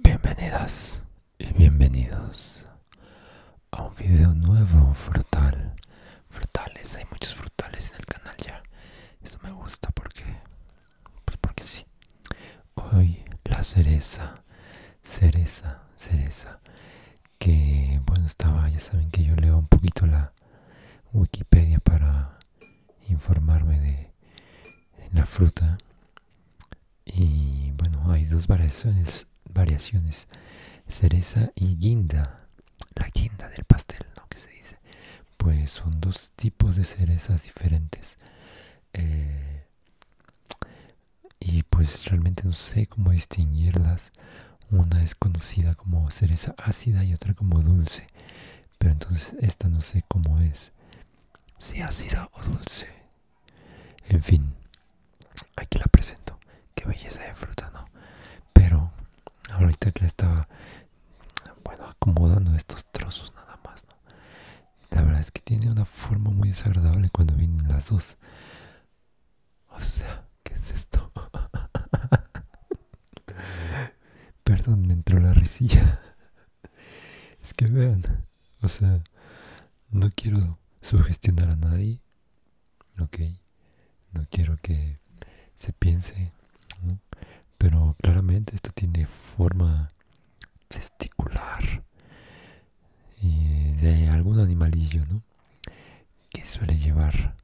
Bienvenidas y bienvenidos a un video nuevo frutal. Frutales, hay muchos frutales en el canal ya. Eso me gusta porque pues porque sí. Hoy la cereza, cereza, cereza. Que bueno, estaba, ya saben que yo leo un poquito la Wikipedia para informarme de la fruta. Y bueno, hay dos variaciones, variaciones, cereza y guinda. La guinda del pastel, ¿no? Que se dice. Pues son dos tipos de cerezas diferentes. Eh, y pues realmente no sé cómo distinguirlas. Una es conocida como cereza ácida y otra como dulce. Pero entonces esta no sé cómo es. Si ácida o dulce. En fin, aquí la presento. Qué belleza de fruta, ¿no? Pero ahorita que le estaba bueno acomodando estos trozos nada más ¿no? la verdad es que tiene una forma muy desagradable cuando vienen las dos o sea qué es esto perdón me entró la risilla es que vean o sea no quiero sugestionar a nadie ok no quiero que se piense pero claramente esto tiene forma testicular de algún animalillo ¿no? que suele llevar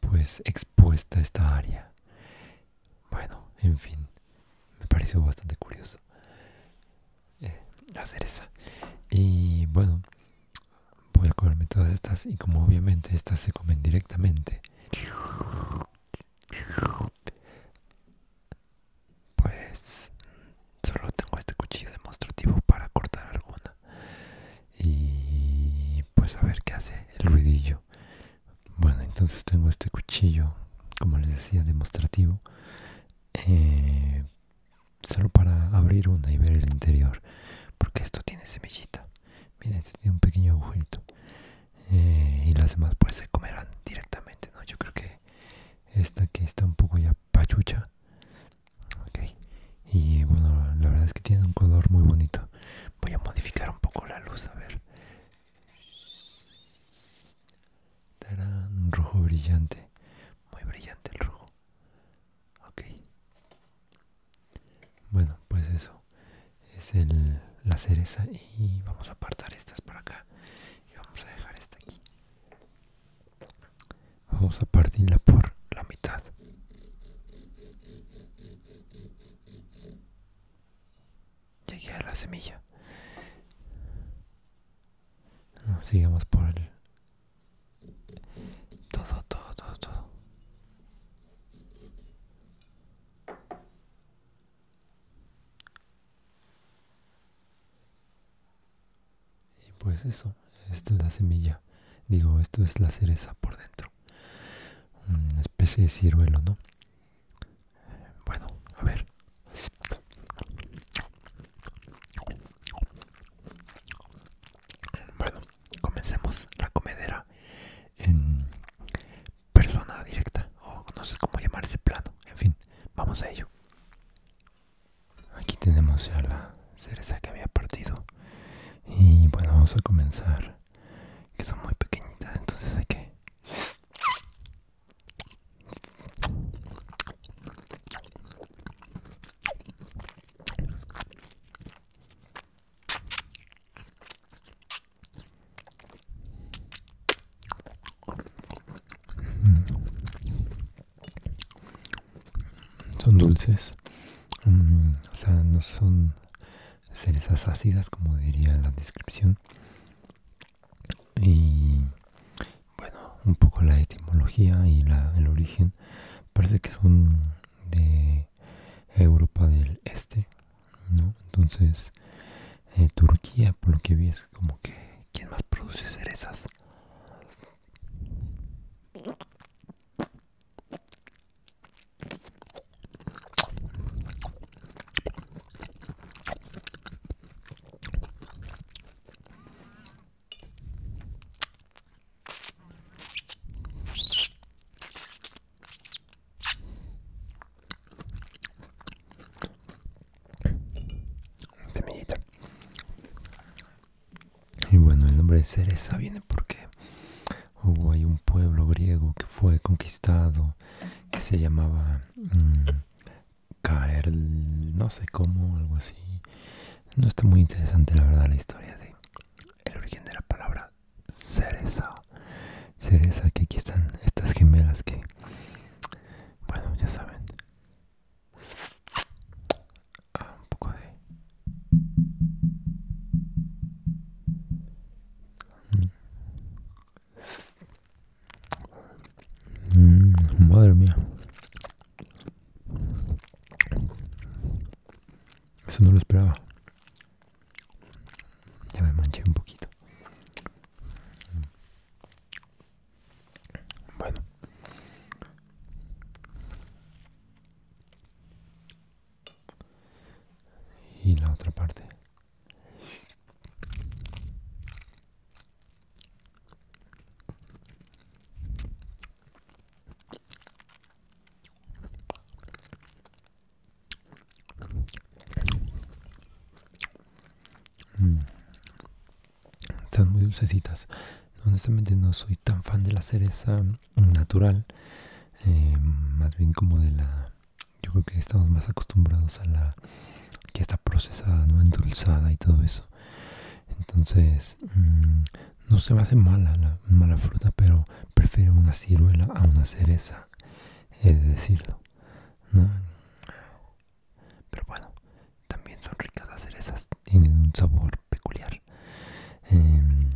pues expuesta esta área bueno en fin me pareció bastante curioso la eh, cereza y bueno voy a comerme todas estas y como obviamente estas se comen directamente pues solo tengo este cuchillo demostrativo para cortar alguna. Y pues a ver qué hace el ruidillo. Bueno, entonces tengo este cuchillo, como les decía, demostrativo. Eh, solo para abrir una y ver el interior. Porque esto tiene semillita. Miren, este tiene un pequeño agujerito. Eh, y las demás pues se comerán directamente, ¿no? Yo creo que esta que está un poco ya pachucha. Okay. Y bueno, la verdad es que tiene un color muy bonito. Voy a modificar un poco la luz, a ver. Tarán, rojo brillante. Muy brillante el rojo. Ok. Bueno, pues eso es la cereza y vamos a apartar estas para acá y vamos a dejar esta aquí. Vamos a partirla por la mitad. Llegué a la semilla. sigamos por el todo, todo, todo, todo. Y pues eso, esto es la semilla. Digo, esto es la cereza por dentro. Una mm, especie de ciruelo, ¿no? Bueno, a ver. Bueno, comencemos la comedera en persona directa o no sé cómo llamar ese plano en fin vamos a ello aquí tenemos ya la cereza que había partido y bueno vamos a comenzar que son muy pequeñitas entonces hay que Mm. Son dulces, mm, o sea, no son cerezas ácidas como diría la descripción. Y bueno, un poco la etimología y la, el origen parece que son de Europa del Este, ¿no? Entonces, eh, Turquía, por lo que vi, es como que quien más produce cerezas. Y bueno, el nombre de cereza viene porque hubo ahí un pueblo griego que fue conquistado que se llamaba mm, Caer, no sé cómo, algo así. No está muy interesante la verdad la historia de el origen de la palabra cereza. Cereza, que aquí están estas gemelas que, bueno, ya saben. Ah, un poco de... Mm. Mm, madre mía, eso no lo esperaba. Ya me manché un poquito. Bueno. Y la otra parte. Mm. Están muy dulcecitas. Honestamente no soy tan fan de la cereza natural. Eh, más bien como de la... Yo creo que estamos más acostumbrados a la que está procesada, ¿no? Endulzada y todo eso. Entonces, mm, no se me hace mala la mala fruta, pero prefiero una ciruela a una cereza, he de decirlo. ¿no? Pero bueno, también son ricas las cerezas, tienen un sabor peculiar. Em,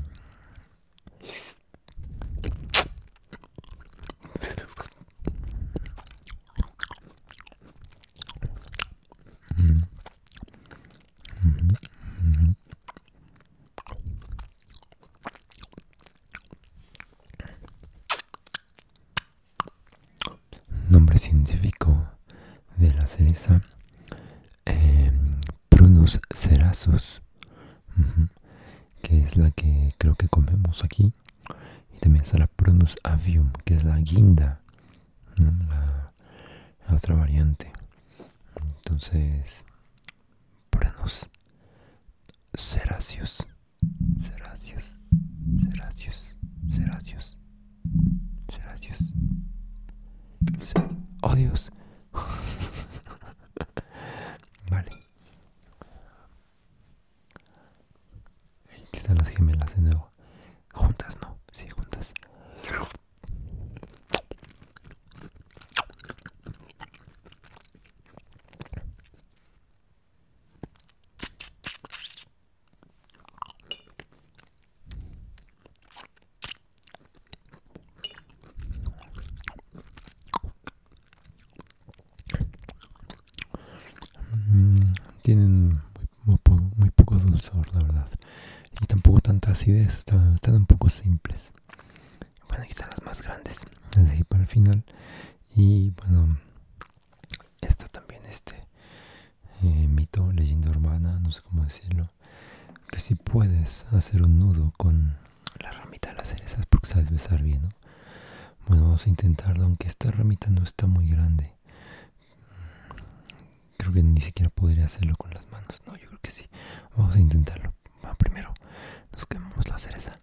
Nombre científico de la cereza. Em, Prunus cerasus. Que es la que creo que comemos aquí y también está la Prunus avium, que es la guinda, la, otra variante. Entonces, Prunus Seracius. Seracius. Seracius. Seracius. Seracius. ¡Oh, Dios! vale están las gemelas de nuevo. Juntas, ¿no? Sí, juntas. Mm, tienen muy, poco dulzor, la verdad. Y tampoco tanta acidez, están, un poco simples. Bueno, aquí están las más grandes, ahí para el final. Y bueno, está también, este eh, mito, leyenda urbana, no sé cómo decirlo. Que si puedes hacer un nudo con la ramita de las cerezas, porque sabes besar bien, ¿no? Bueno, vamos a intentarlo, aunque esta ramita no está muy grande. Creo que ni siquiera podría hacerlo con las manos. No, yo creo que sí. Vamos a intentarlo. primero nos quemamos la cereza.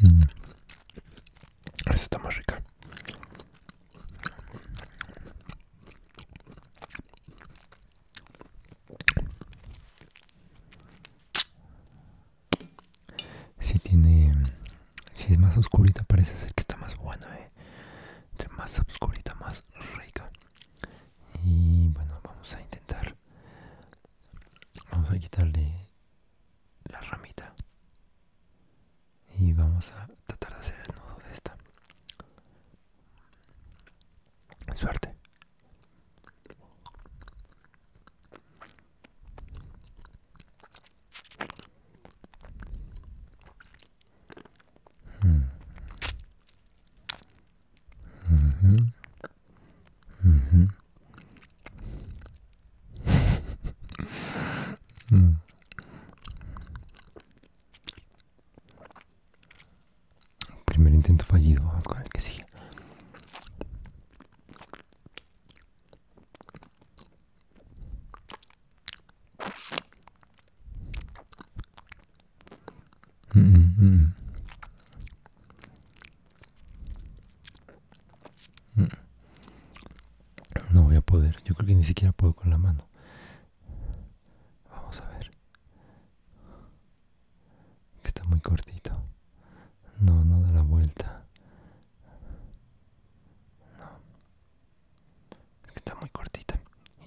Mm. Esta está más rica. Si tiene, si es más oscurita parece ser que está más buena, eh. más oscurita más rica. Y bueno, vamos a intentar, vamos a quitarle la ramita y vamos a tratar de hacer el nudo de esta Suerte. Mm. Mm -hmm. Mm -hmm. mm. Primer intento fallido, vamos con el que sigue. Mm, mm, mm. No voy a poder, yo creo que ni siquiera puedo con la mano. Vamos a ver. Que está muy cortito. No, no da la vuelta. No. Está muy cortita.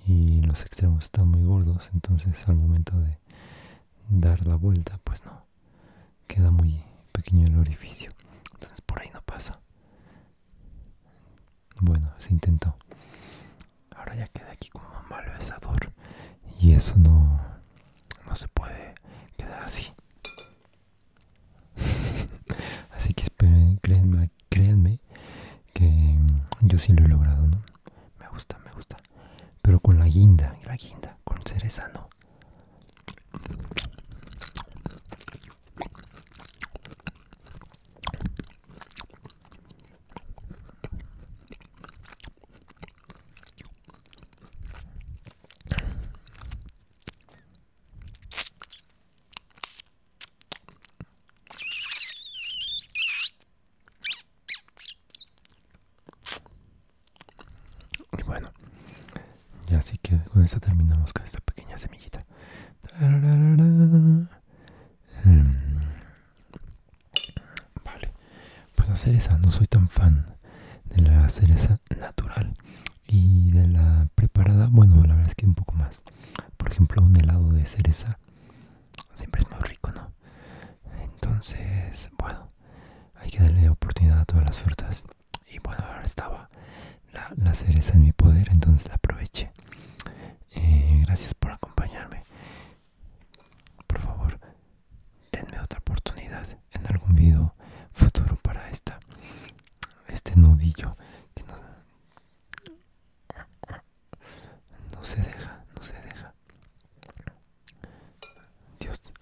Y los extremos están muy gordos, entonces al momento de dar la vuelta, pues no. Queda muy pequeño el orificio. Entonces por ahí no pasa. Bueno, se intentó. Ahora ya queda aquí como un mal besador. Y eso no, no se puede quedar así. así que créanme, que mm, yo sí lo he logrado, ¿no? Me gusta, me gusta. Pero con la guinda, la guinda, con cereza no. Y bueno, ya así que con esta terminamos con esta pequeña semillita. Em, vale, pues la cereza, no soy tan fan de la cereza natural y de la preparada, bueno, la verdad es que un poco más. Por ejemplo, un helado de cereza siempre es muy rico, ¿no? Entonces, bueno, hay que darle oportunidad a todas las frutas. Y bueno, ahora estaba la, cereza en mi poder, entonces la aproveché. Eh, gracias por acompañarme. Por favor, denme otra oportunidad en algún video futuro para esta este nudillo que no se deja, no se deja. Dios.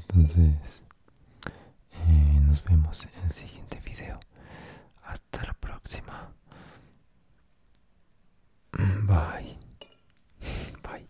Entonces, eh, nos vemos en el siguiente video hasta la próxima bye bye